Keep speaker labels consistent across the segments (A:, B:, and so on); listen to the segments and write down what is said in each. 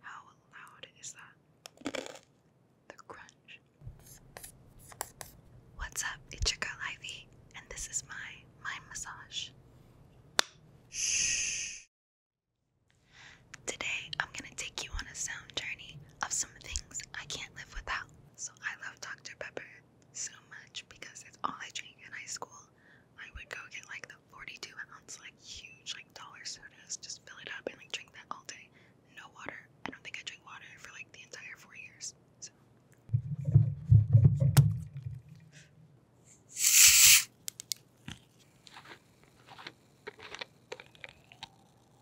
A: How loud is that? The crunch. What's up? It's your girl Ivy, and this is my mind massage. Shh. Today, I'm gonna take you on a sound journey of some things I can't live without. So, I love Dr. Pepper, so much because it's all I drank in high school. I would go get like the 42 ounce, like huge, like dollar sodas, just fill it up and like drink that all day. No water. I don't think I drank water for like the entire four years. So.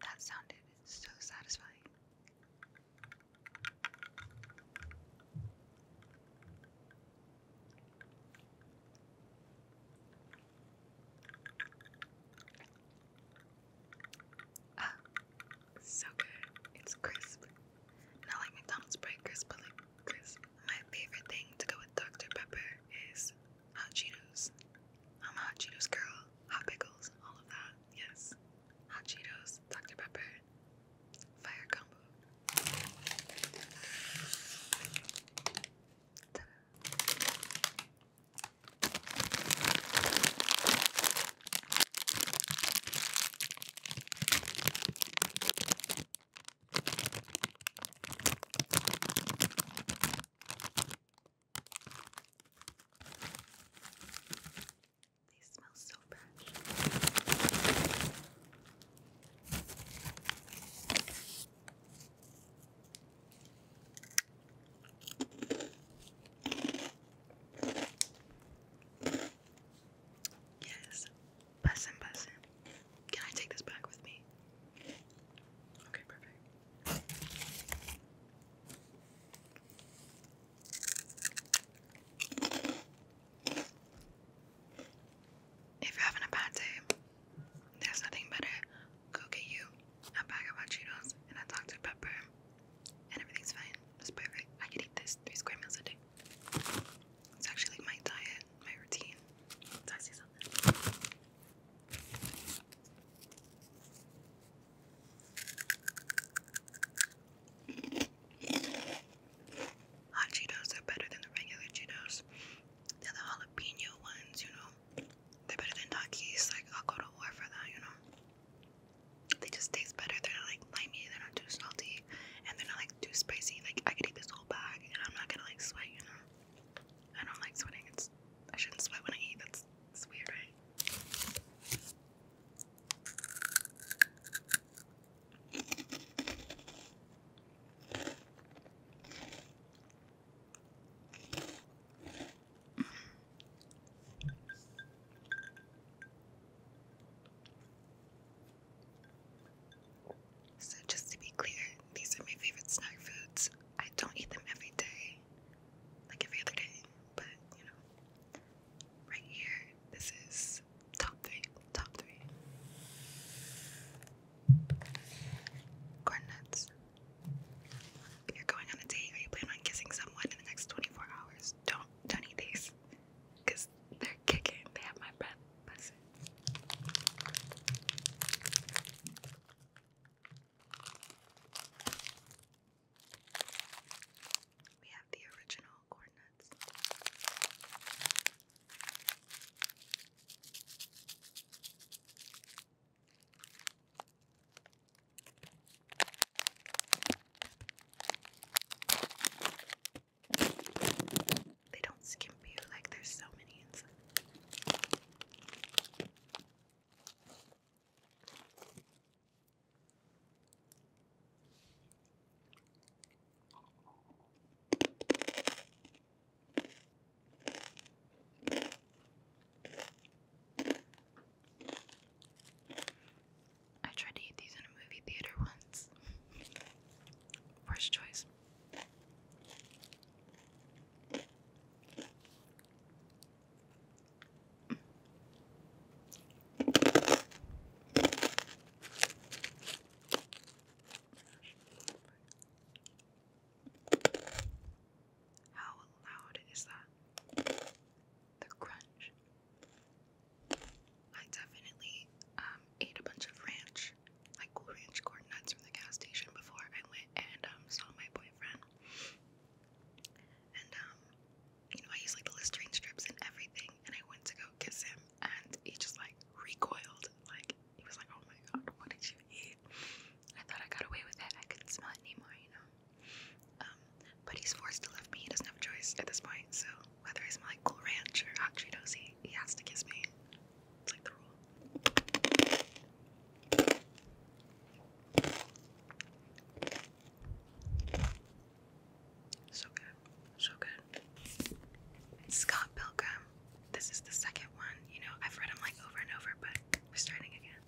A: That sounded so satisfying. Ah, so good. It's crisp. Not like McDonald's bread crisp, but like crisp. My favorite thing to go with Dr. Pepper is hot Cheetos. I'm a hot Cheetos girl. Hot pickles, all of that. Yes. Hot Cheetos, Dr. Pepper, fire combo. They smell so nail brush. Yes, person, person. Can I take this back with me? Okay, perfect. If you're having a bad day, there's nothing better. Go get you a bag of hot and a Dr. Pepper, and everything's fine. It's perfect. I could eat this three square meals a day. It's actually like my diet, my routine. Did I see something? hot Cheetos are better than the regular Cheetos. They're the jalapeno ones, you know. They're better than donkeys. Like I'll go to war for that, you know. They just taste better. They're not like limey. They're not too salty, and they're not like too spicy. Like I could eat this whole bag, and I'm not gonna like sweat, you know. I don't like sweating. It's I shouldn't sweat when I eat. That's it's weird, right? So, just to be clear, these are my favorite snack foods. I don't eat them every day, like every other day, but you know, right here, this is Top three. Top three. Corn nuts. you're going on a date or you planning on kissing someone in the next 24 hours, don't don't eat these. Cause they're kicking. They have my breath. That's we have the original coordinates. They don't skimp you like there's so many I tried to eat these in a movie theater once. Worst choice. How loud is that? The crunch. I definitely um, ate a bunch of ranch, like cool ranch corn nuts from the gas station before I went and um, saw my boyfriend. Um, you know, I use like the Listerine strips and everything, and I went to go kiss him, and he just like recoiled. Like, he was like, oh my god, what did you eat? I thought I got away with it. I couldn't smell it anymore, you know? Um, but he's forced to love me. He doesn't have a choice at this point, so whether I smell like Cool Ranch or Hot Cheetos, he, he has to kiss me. It's like the rule. So good, so good. Scott Pilgrim. This is the second one. You know, I've read them like over and over, but we're starting again.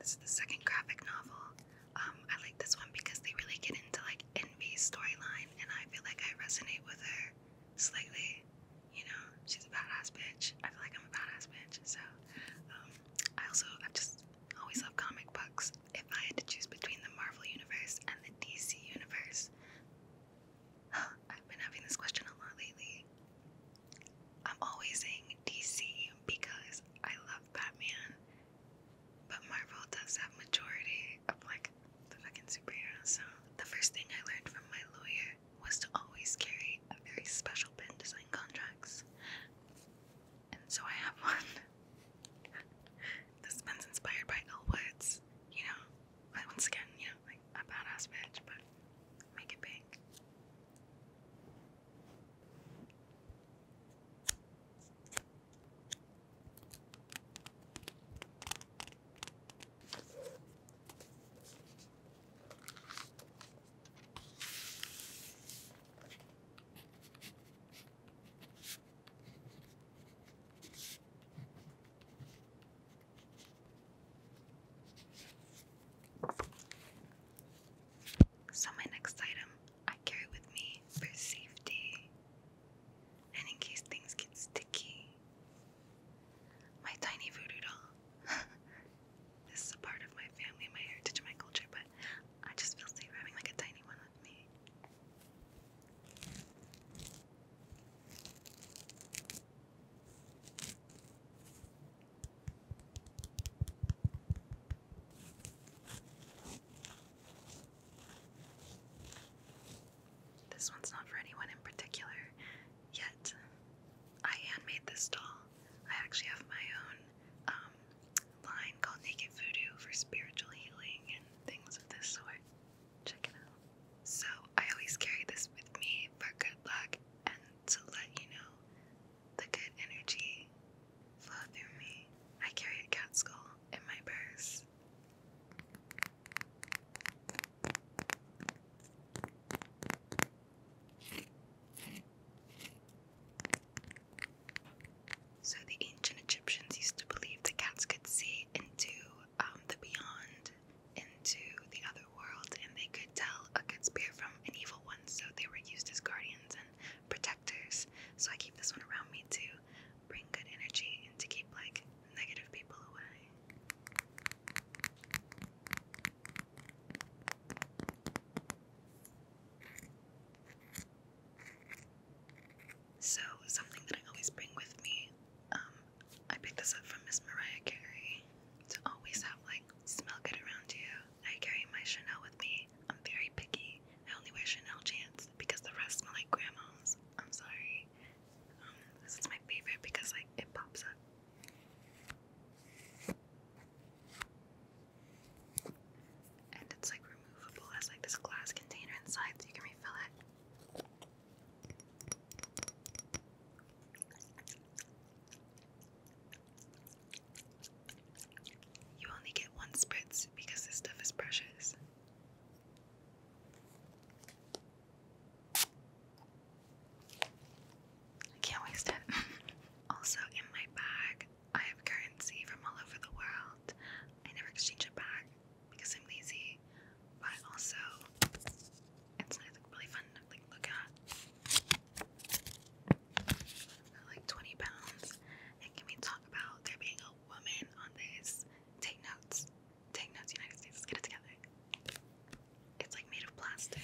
A: This is the second graphic novel um, I like this one because they really get into like Envy's storyline, and I feel like I resonate with her slightly. You know, she's a badass bitch. I feel like I'm a badass bitch. So, um, I also I've just always love comic books. If I had to choose between the Marvel universe and the DC universe, I've been having this question a lot lately. I'm always saying DC because I love Batman but Marvel does have majority of like the fucking superheroes. So the first thing I learned from my lawyer was to always carry a very special pen to sign contracts. And so I have one. this pen's inspired by Elwood's, you know. I once again, you like a badass bitch, but make it big. So, my next item I carry with me for safety and in case things get sticky. My tiny voodoo doll. this is a part of my family, my heritage, my culture, but I just feel safe having like a tiny one with me. This one's not for anyone in particular yet. I hand made this doll. I actually have my own um, line called Naked Voodoo for spiritual healing and things of this sort. Check it out. So I always carry this with me for good luck and to let you know the good energy flow through me. I carry a cat skull in my purse. So the ancient Egyptians used to believe the cats could see into um, the beyond, into the other world, and they could tell a good spirit from an evil one. So they were used as guardians and protectors. So I keep this one around me to bring good energy and to keep like negative people away. So, something that I always bring with me, um, I picked this up from Miss Mariah Carey to always have like smell good around you. I carry my Chanel with me. I'm very picky. I only wear Chanel jeans because the rest smell like grandma's. I'm sorry. Um, this is my favorite because like it pops up. And it's like removable. It like this glass container inside so you can refill it. You only get one spritz because this stuff is precious. I can't waste it. also, in my bag, I have currency from all over the world. I never exchange it back because I'm lazy, but also it's nice, like really fun to like look at like 20 pounds. And can we talk about there being a woman on this? Take notes. Take notes, United States. get it together. It's like made of plastic.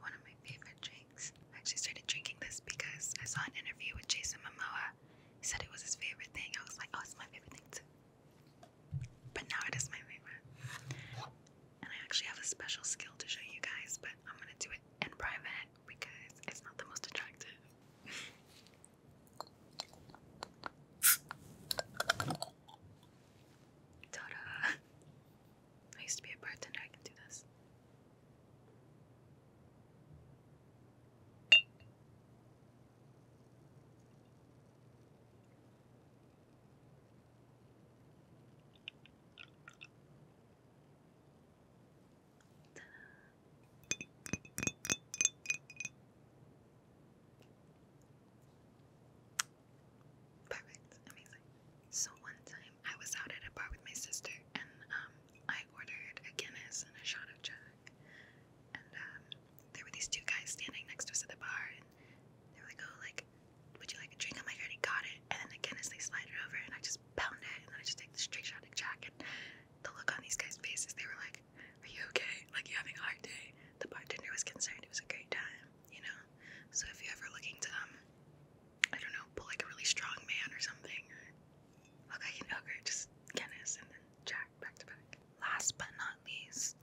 A: One of my favorite drinks. I actually started drinking this because I saw an interview with Jason Momoa. He said it was his favorite thing. I was like, oh, it's my favorite thing too. But now it is my favorite. And I actually have a special skill to show you guys, but I'm gonna do it in private because it's not the most attractive. ta I used to be a bartender, I can do this. Perfect, amazing. So one time I was out at a bar with my sister and um, I ordered a Guinness and a shot of Jack and um, there were these two guys standing next to us at the bar, and they were like, "Oh, like, would you like a drink?" I'm like, already got it." And then again, as they slide it over, and I just pound it, and I just take the straight shot at Jack. And the look on these guys' faces, they were like, "Are you okay? Like, you having a hard day?" The bartender was concerned. It was a great time, you know. So if you ever looking to um, I don't know, pull like a really strong man or something, or look just Guinness and then Jack. Last but not least,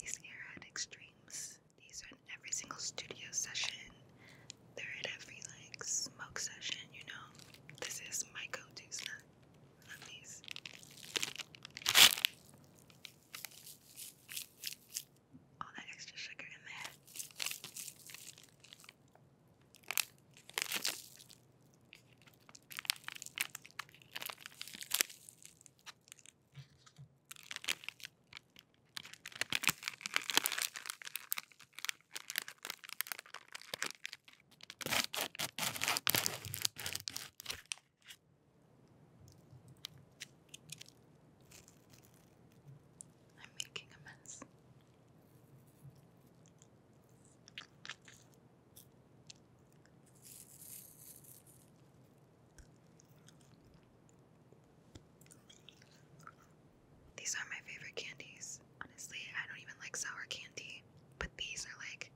A: these Airhead Extremes. These are in every single studio session. They're at every like smoke session, you know. This is my go-to snack. Love these. All that extra sugar in there. I'm making a mess. These are my favorite candies. Honestly, I don't even like sour candy, but these are like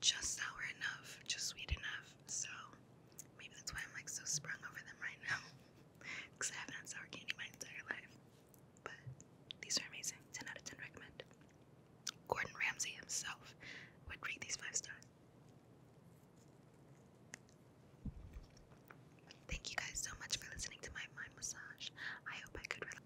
A: just sour enough, just sweet enough. So maybe that's why I'm like so sprung over them right now. Because I haven't had sour candy my entire life. But these are amazing. 10 out of 10 recommend. Gordon Ramsay himself would rate these five stars. Thank you guys so much for listening to my mind massage. I hope I could relax.